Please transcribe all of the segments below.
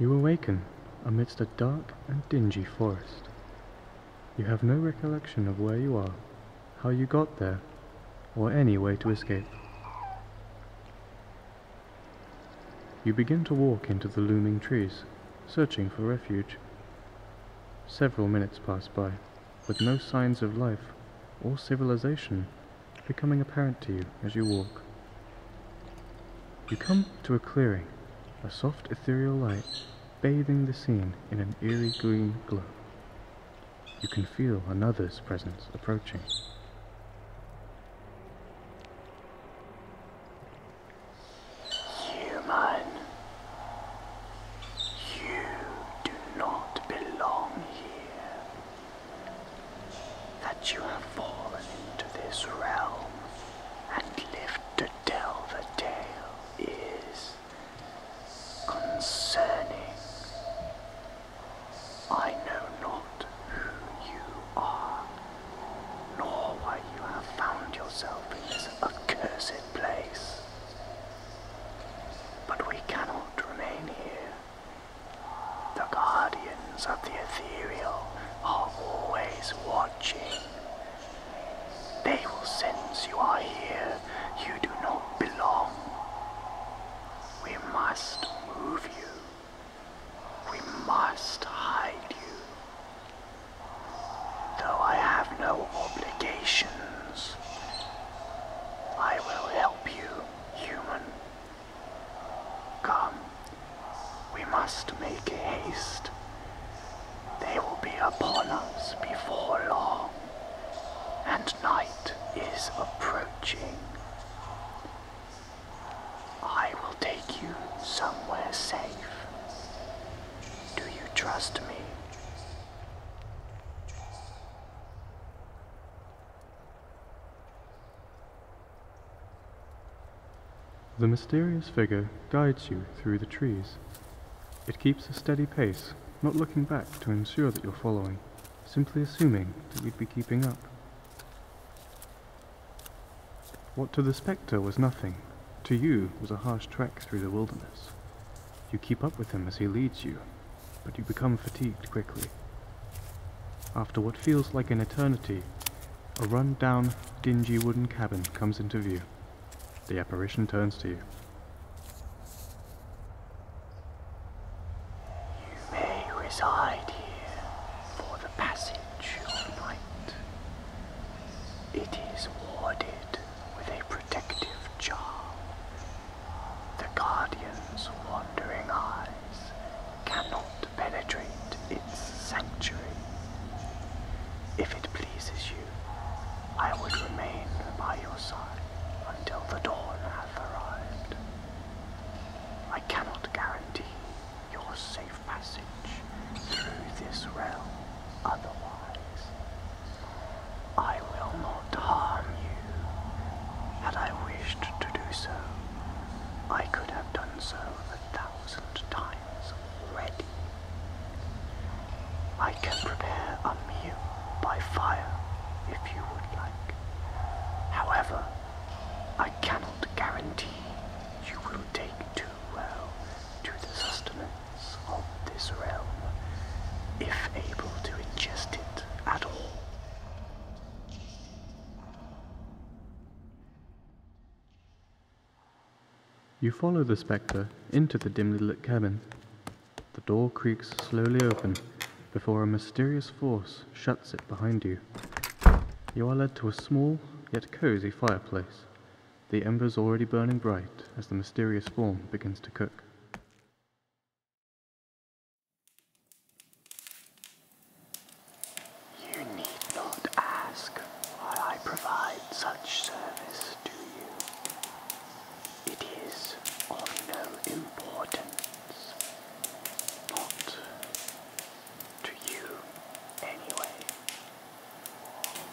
You awaken amidst a dark and dingy forest. You have no recollection of where you are, how you got there, or any way to escape. You begin to walk into the looming trees, searching for refuge. Several minutes pass by with no signs of life or civilization becoming apparent to you as you walk. You come to a clearing, a soft ethereal light bathing the scene in an eerie green glow. You can feel another's presence approaching. Human. You do not belong here. That you have fallen into this realm and lived to tell the tale is concerning. I know not who you are, nor why you have found yourself in this accursed place. But we cannot remain here. The guardians of the ethereal are always watching. They will sense you are here. You do not belong. We must move you. We must hide you. Though I have no obligations, I will help you, human. Come, we must make haste. They will be upon us before long, and night is approaching. I will take you somewhere safe. Do you trust me? The mysterious figure guides you through the trees. It keeps a steady pace, not looking back to ensure that you're following, simply assuming that you'd be keeping up. What to the spectre was nothing, to you was a harsh trek through the wilderness. You keep up with him as he leads you, but you become fatigued quickly. After what feels like an eternity, a run-down, dingy wooden cabin comes into view. The apparition turns to you. You may reside here for the passage of night. It is warded with a protective charm. The Guardian's wandering eyes cannot penetrate its sanctuary. If it pleases you, I would remain by your side until the dawn hath arrived. I cannot guarantee your safe passage through this realm. Otherwise, I will not harm you. Had I wished to do so, I could have done so a thousand times already. I can prepare a meal by fire if you would like. However, I cannot guarantee you will take too well to the sustenance of this realm, if able to ingest it at all. You follow the spectre into the dimly lit cabin. The door creaks slowly open before a mysterious force shuts it behind you. You are led to a small yet cozy fireplace, the embers already burning bright as the mysterious form begins to cook. You need not ask why I provide such service to you. It is of no importance, not to you anyway.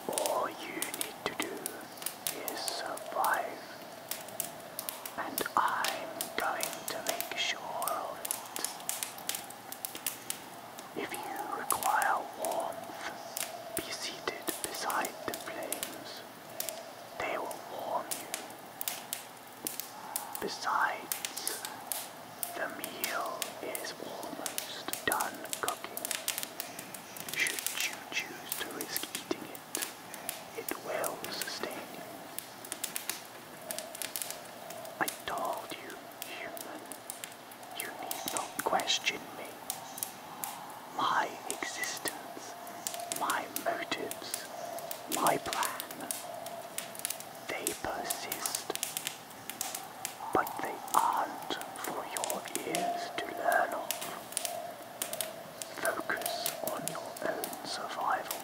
All you need to do is survive. And I'm going to make sure of it. If you require warmth, be seated beside the flames. They will warm you. Besides, the meal is almost done cooking. Should you choose to risk eating it, it will sustain you. I told you, human, you need not question me. My existence, my motives, my plan, they persist. But they aren't for your ears to learn of. Focus on your own survival.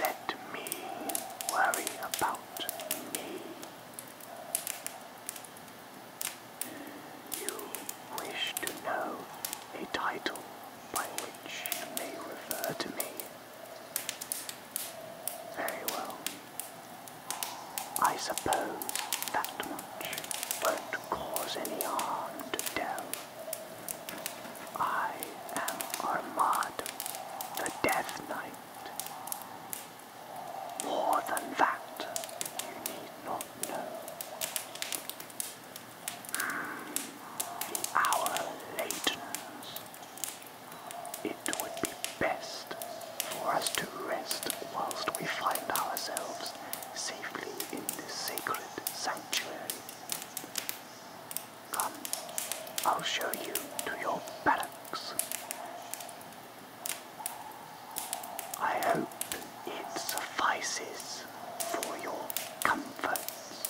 Let me worry about me. You wish to know a title by which you may refer to me. Very well. I suppose that much won't cause any harm to Dell. I am Armad, the Death Knight. More than that, you need not know. Hmm, the hour latens. It would be best for us to rest whilst we find ourselves safely in this sacred sanctuary. Come, I'll show you to your barracks. I hope it suffices for your comforts.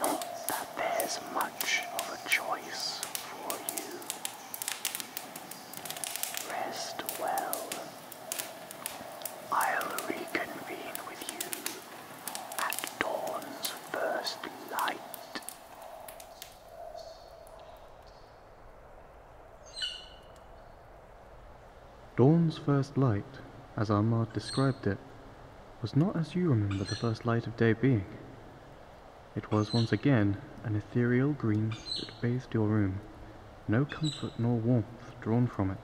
Not that there's much of a choice for you. Rest well. I'll reconvene with you at dawn's first light. Dawn's first light, as Armand described it, was not as you remember the first light of day being. It was once again an ethereal green that bathed your room, no comfort nor warmth drawn from it.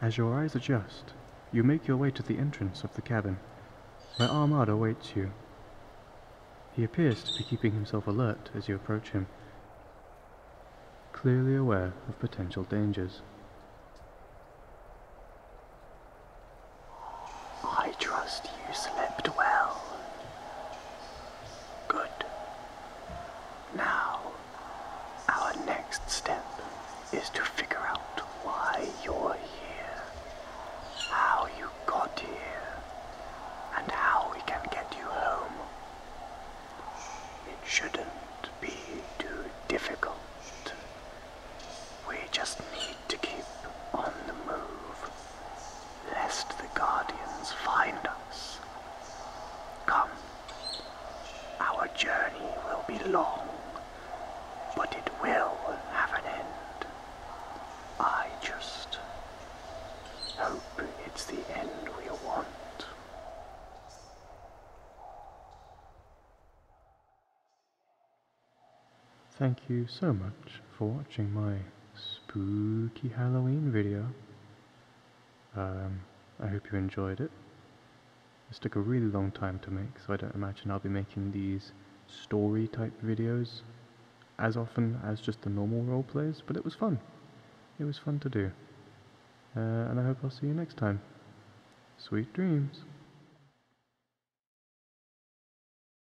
As your eyes adjust, you make your way to the entrance of the cabin, where Ahmad awaits you. He appears to be keeping himself alert as you approach him, clearly aware of potential dangers. I trust you slept well. Good. Now, our next step is to figure out why you're here, how you got here, and how we can get you home. It shouldn't be too difficult. We just need to keep on the move lest the guardians find us. Come, our journey will be long, but it will have an end. I just hope it's the end we want. Thank you so much for watching my spooky Halloween video. Um, I hope you enjoyed it. This took a really long time to make, so I don't imagine I'll be making these story type videos as often as just the normal role plays, but it was fun. It was fun to do. Uh, and I hope I'll see you next time. Sweet dreams.